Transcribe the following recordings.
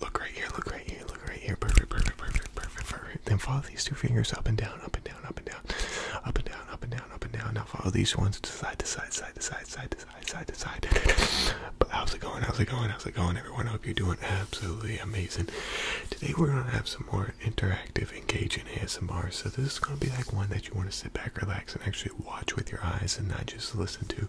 Look right here, look right here, look right here. Perfect, perfect, perfect, perfect, perfect. Then follow these two fingers up and down, up and down, up and down, up and down, up and down, up and down. Now follow these ones to side to side, side to side, side to side, side to side. But how's it going? How's it going? How's it going, everyone? I hope you're doing absolutely amazing. Today we're gonna have some more interactive, engaging ASMR. So this is gonna be like one that you want to sit back, relax, and actually watch with your eyes and not just listen to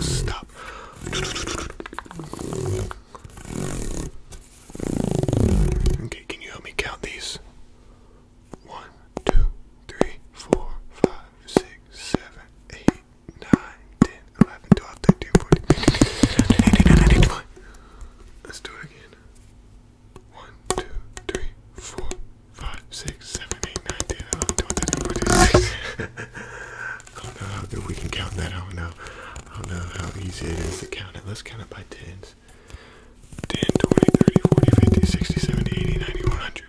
Stop. Okay, can you help me count these? One, two, three, four, five, six, seven, eight, nine, ten, eleven, twelve, thirteen, fourteen, fifteen, twenty. Let's do it again. One, two, three, four, five, six, seven, eight, nine, ten, eleven, twelve, thirteen, fourteen, sixteen. I don't know how good we can count that. I don't know. I don't know how easy it is to count it. Let's count it by tens. 10, 20, 30, 40, 50, 60, 70, 80, 90, 100.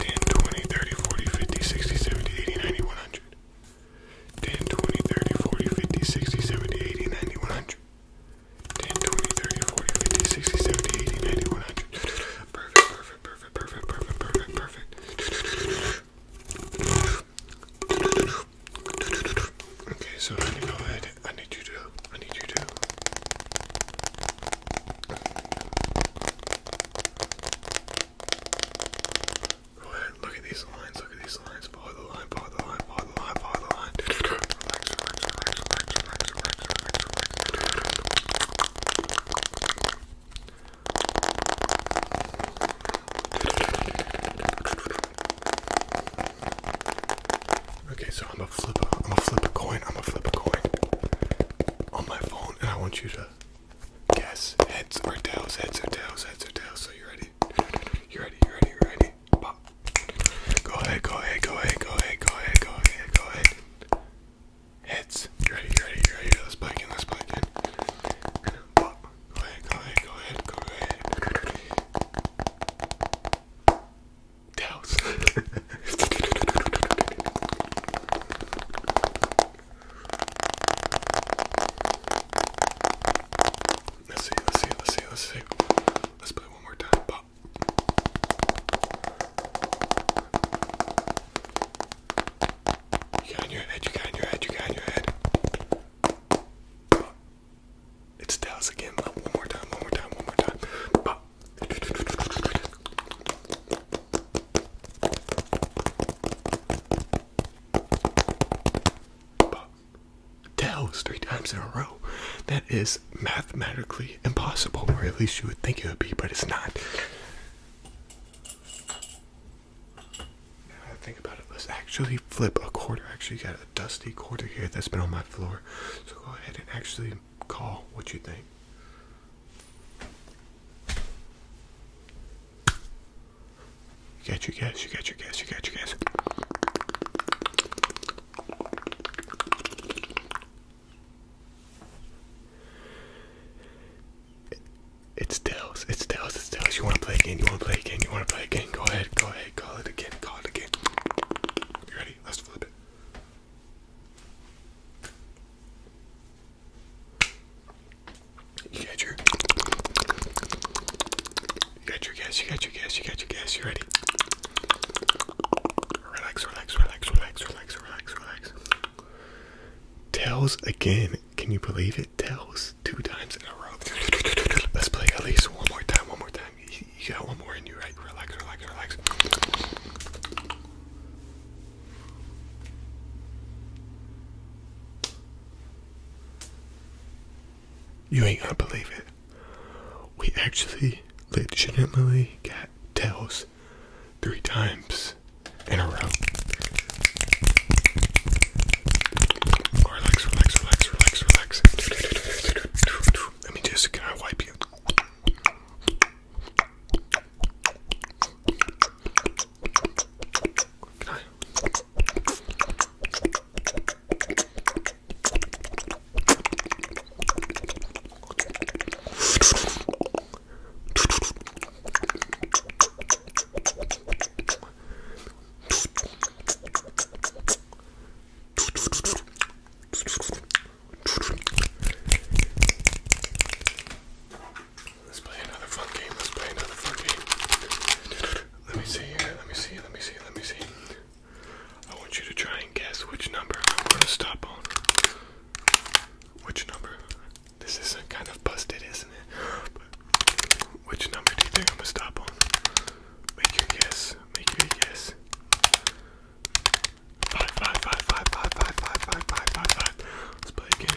10, 20, 30, 40, 50, 60, 80, 90, 100. 10, 20, 30, 40, 50, 60, 70, 90, 100. 10, 20, 30, 40, 50, 60, 70, 80, 100 perfect, perfect, perfect, perfect, perfect, perfect. Okay, so let me go ahead. I need you to. I need you to. Go ahead. Look at these lines. Look at these lines. Follow the line. Follow the line. Follow the line. Follow the line. Relax. Relax. Relax. Relax. Relax. Okay, so I'm a flip. I'm gonna flip a coin. I'm gonna flip a coin on my phone, and I want you to guess heads or tails. Heads or tails. Heads or tails. So you ready? You ready? You ready? You ready? Pop. Go ahead. Go ahead. Go ahead. Go ahead. Go ahead. Go ahead. Go ahead. Hits. ready, ready, ready. Let's play again, let's play again. Go ahead, go ahead, go ahead, go ahead. Douse. let's see, let's see, let's see, let's see. Let's play one more time. Pop. You got in your head, you got in your head, you got in your head. It's Dallas again. One more time, one more time, one more time. Dallas three times in a row. That is mathematically impossible, or at least you would think it would be, but it's not. Now I think about it, let's actually flip a quarter. Actually, got a dusty quarter here that's been on my floor. So go ahead and actually call what you think. You got your guess, you got your guess, you got your guess. It, it's tails. It's tails. It's tails. You want to play again? You want to play again? You want to play again? Go ahead. Go ahead. Call it again. Call it again. You ready? Let's flip it. You got your. You got your guess. You got your guess. You got your guess. You ready? Relax, relax, relax, relax, relax, relax, relax. Tails again. Can you believe it? Tails two times in a row. Let's play at least one more time, one more time. You, got one more in you, Relax, relax, relax. You ain't gonna believe it we actually legitimately got tails three times in a row. Relax, relax, relax, relax, relax. Let me just, can I wipe you? Let's play another fun game. Let's play another fun game. Let me see. Let me see. Let me see. Let me see. I want you to try and guess which number I'm going to stop on. Which number? This is not kind of busted, isn't it? But which number do you think I'm going to stop on? Make your guess. Make your guess. Five, five, five, five, five, five, five, five, five, five, five. Let's play again.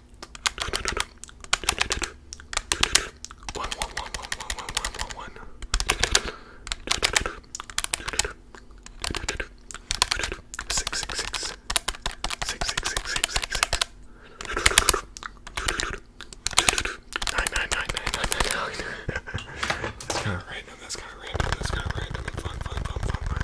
One, one, one, one, one, one, one, one, one. Six, six, six. Six, six, six, six, six, six. Nine, nine, nine, nine, nine, nine, nine. That's kind of random. That's kind of random. That's kind of random and fun, fun, fun, fun, fun.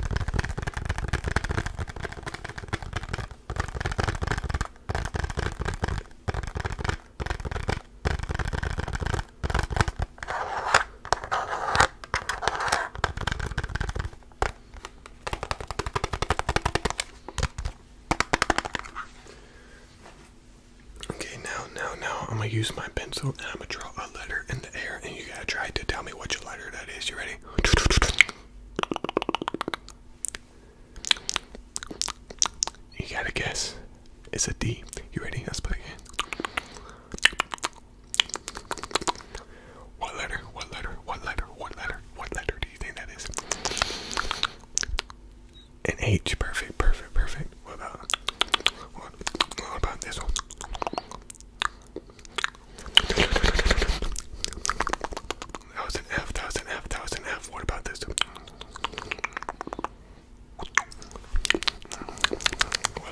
Okay, now, now, now, I'm gonna use my pencil and I'm gonna draw a letter in the air, and you gotta try to tell me what your letter that is. You ready? You gotta guess. It's a D. You ready? Let's play again. What letter? What letter? What letter? What letter? What letter do you think that is? An H. Perfect. Perfect. Perfect. What about? what about this one? That was an F, that was an F, that was an F. What about this? What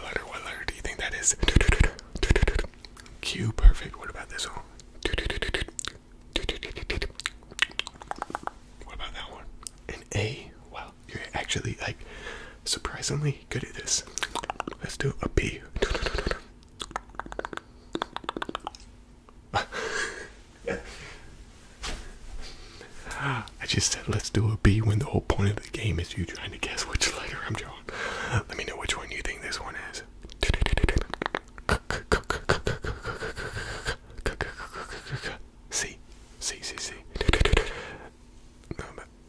letter, what letter do you think that is? Q, perfect. What about this one? What about that one? An A? Well, you're actually like surprisingly good at this. Let's do a P. I just said let's do a B when the whole point of the game is you trying to guess which letter I'm drawing. Let me know which one you think this one is. C, C, C, C.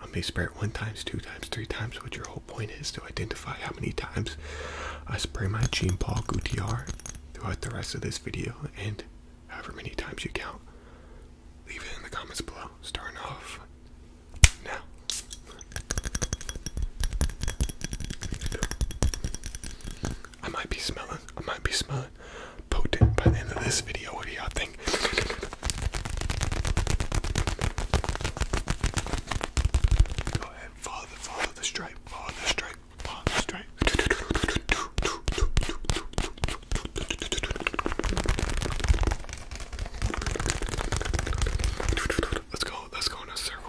I may spray it one times, two times, three times, but your whole point is to identify how many times I spray my Jean Paul Gouttier throughout the rest of this video, and however many times you count, leave it in the comments below. Starting off now. I might be smelling, I might be smelling potent by the end of this video. What do y'all think? Go ahead, follow the follow the stripe, follow the stripe, follow the stripe. Let's go, let's go in a circle.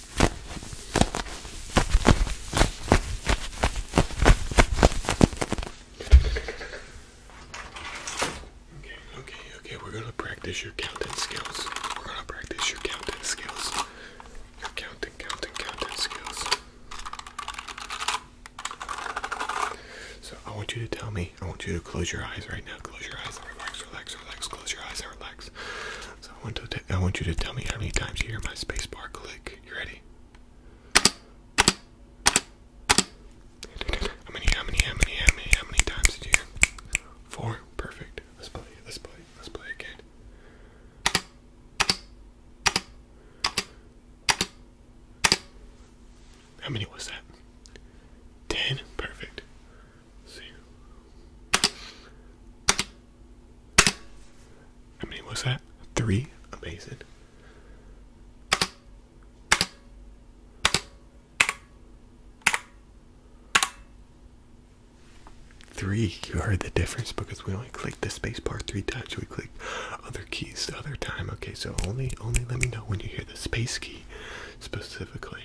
Okay, okay, okay, we're gonna practice your counting skills. We're gonna practice your counting skills. Your counting, counting, counting skills. So I want you to tell me, I want you to close your eyes right now. Close your eyes relax, relax, relax, close your eyes relax. So I want to I want you to tell me how many times you hear my spacebar click. You ready? How many? How many? How many? How many? How many times did you hear? Four. Perfect. Let's play. Let's play. Let's play again. How many was that? Ten. Perfect. see. How many was that? Three? Amazing. Three. You heard the difference because we only clicked the space bar three times. We clicked other keys the other time. Okay, so only only let me know when you hear the space key specifically.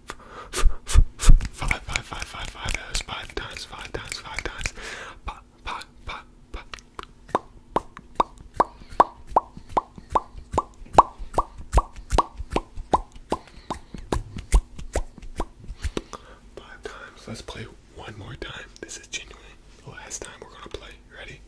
five, five, five, five, five, that's five times, five times, five times, five, five, five, five. Five times. Let's play one more time. This is genuinely the last time we're gonna play. You ready?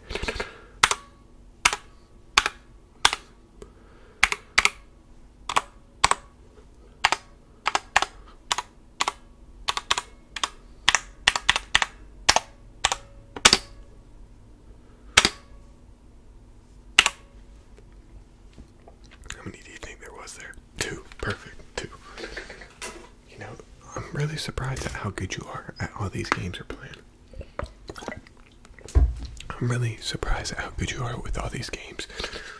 How many do you think there was there? Two. Perfect. Two. You know, I'm really surprised at how good you are at all these games you're playing. I'm really surprised at how good you are with all these games.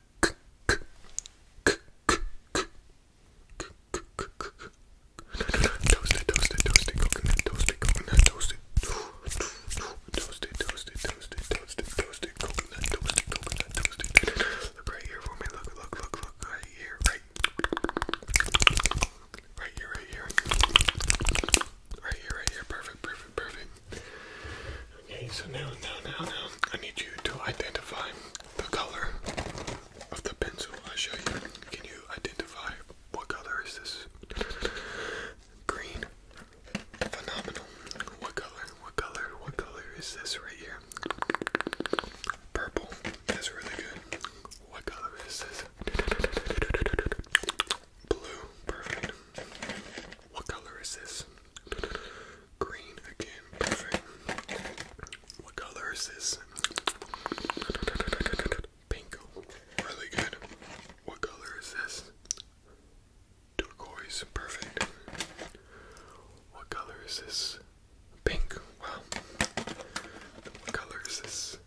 Toasted, toasted, toasted, coconut, toasted, coconut, toasted. Toasted, toasted, toasted, toasted, toasted, coconut, toasted, coconut, toasted. Look right here for me. Look, look, look, look right here, right. Right here, right here. Right here, right here. Perfect, perfect, perfect. Okay, so now, now, now, now, I need you to identify the color of the pencil I show you. Can you identify what color is this? Green. Phenomenal. What color? What color? What color is this right here? Purple. That's really good. What color is this? Blue. Perfect. What color is this? Green again, perfect. What color is this? Pink. Really good. What color is this? Turquoise, perfect. What color is this? Pink. Wow. What color is this?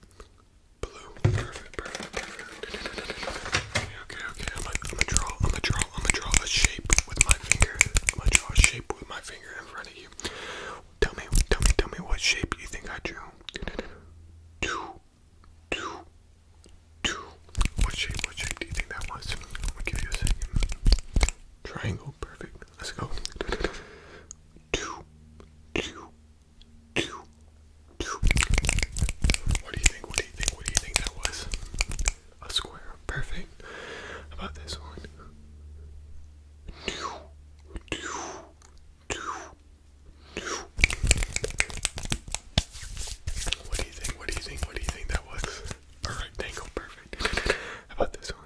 Blue. Perfect, perfect, perfect. Okay, okay, okay. I'm gonna draw, I'm gonna draw I'm gonna draw a shape with my finger. I'm gonna draw a shape with my finger in front of you. Tell me, tell me, tell me what shape you think I drew. Two, two, two. What shape? What shape do you think that was? I'm give you a second. Triangle, perfect. Let's go. Two, two, two, two. What do you think? What do you think? What do you think that was? a square. Perfect. How about this one? What do you think? What do you think? What do you think that was? A rectangle, perfect. about this one?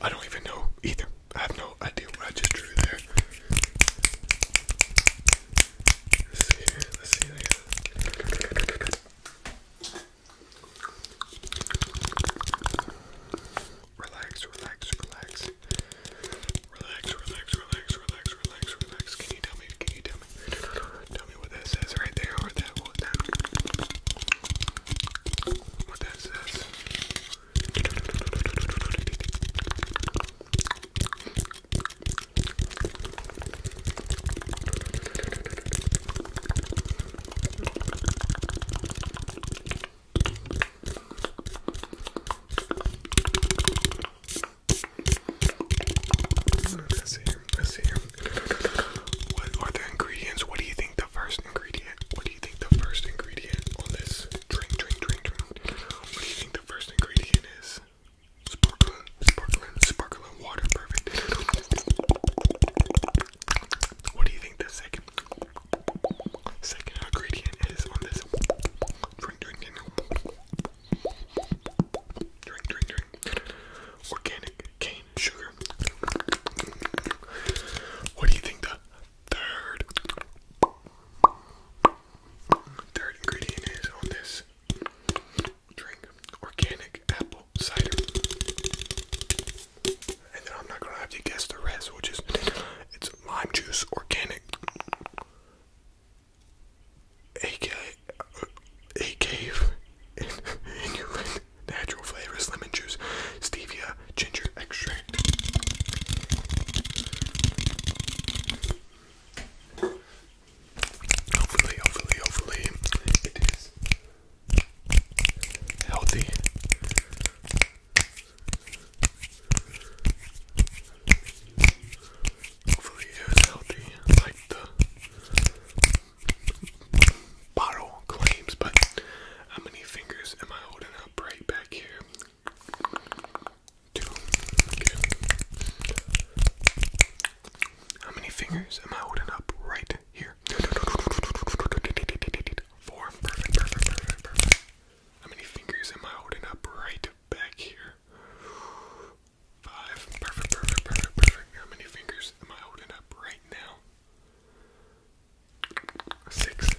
I don't even know either. I have no idea what I just drew there. Let's see here. Let's see there. Relax, relax, relax. Relax, relax, relax, relax, relax, relax. Can you tell me? Can you tell me? Tell me what that says right there or that what that what is this? let see. Let's see. What are the ingredients? What do you think the first ingredient? What do you think the first ingredient on this drink, drink, drink, drink? What do you think the first ingredient is? Sparkling, sparkling, sparkling water, perfect. What do you think the second, second ingredient is on this drink, drink, drink? Drink, drink, drink. Organic, cane sugar. What do you think the third ingredient is on this drink? Organic apple cider. And I'm not gonna have to guess the rest, which is it's lime juice, organic, AK, AK, and, and natural flavors, lemon juice, stevia, ginger extract. Hopefully, hopefully, hopefully, it is healthy. Hopefully, it is healthy, like the bottle claims, but how many fingers am I holding up right back here? Two. Okay. How many fingers am I holding up right here? Four. Perfect, perfect, perfect, perfect. How many fingers am I holding up right back here? Five. Perfect, perfect, perfect, perfect. How many fingers am I holding up right now? six,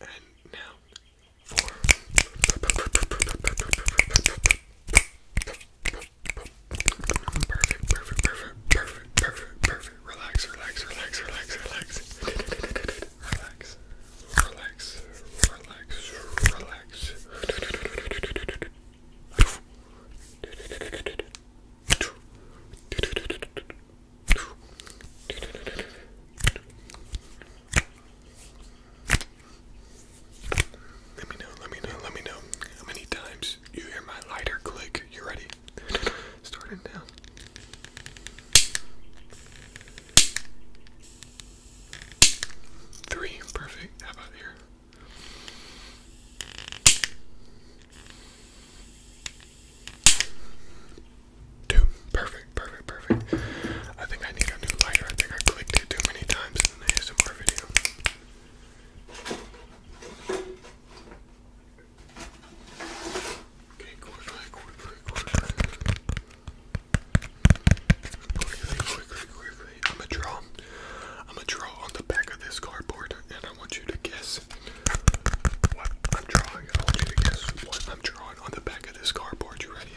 and now four. Perfect, perfect, perfect, perfect, perfect, perfect. Relax, relax, relax, relax, relax. Relax, relax, relax, relax. Let me know, let me know, let me know how many times you hear my lighter click. You ready? Starting now. Three, perfect. How about here? Two. Perfect, perfect, perfect. I think I need a new lighter. I think I clicked it too many times in an ASMR video. Okay, quickly, quickly, quickly. Quickly, quickly, quickly. I'm gonna draw. I'm gonna draw on the back of this cardboard, and I want you to guess what I'm drawing. I want you to guess what I'm drawing on the back of this cardboard. You ready?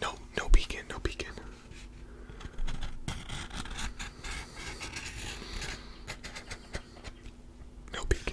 No, no beacon, no beacon. No beacon.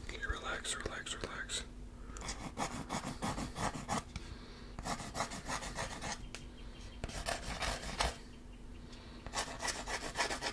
Okay, relax, relax, relax.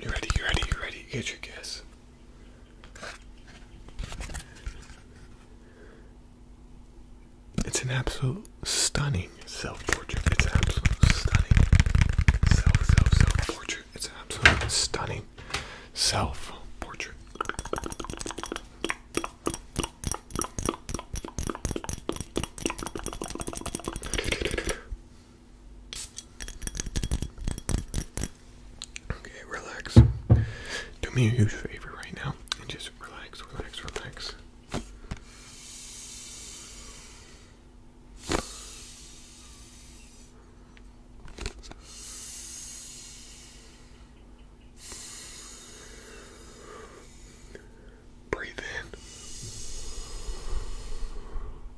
You ready? You ready? You ready? Get your guess. It's an absolute stunning self portrait. It's an absolute stunning self, self, self portrait. It's an absolute stunning self portrait. Okay, relax. Do me a huge favor right now and just relax, relax, relax. Breathe in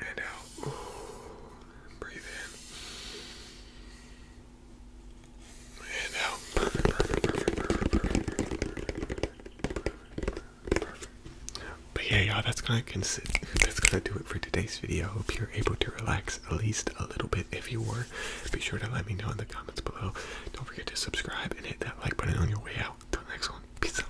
and out. Breathe in and out. But yeah, y'all, that's gonna consist. That's gonna do it for today's video. Hope you're able to relax at least a little bit. If you were, be sure to let me know in the comments below. Don't forget to subscribe and hit that like button on your way out. Till next one, peace out.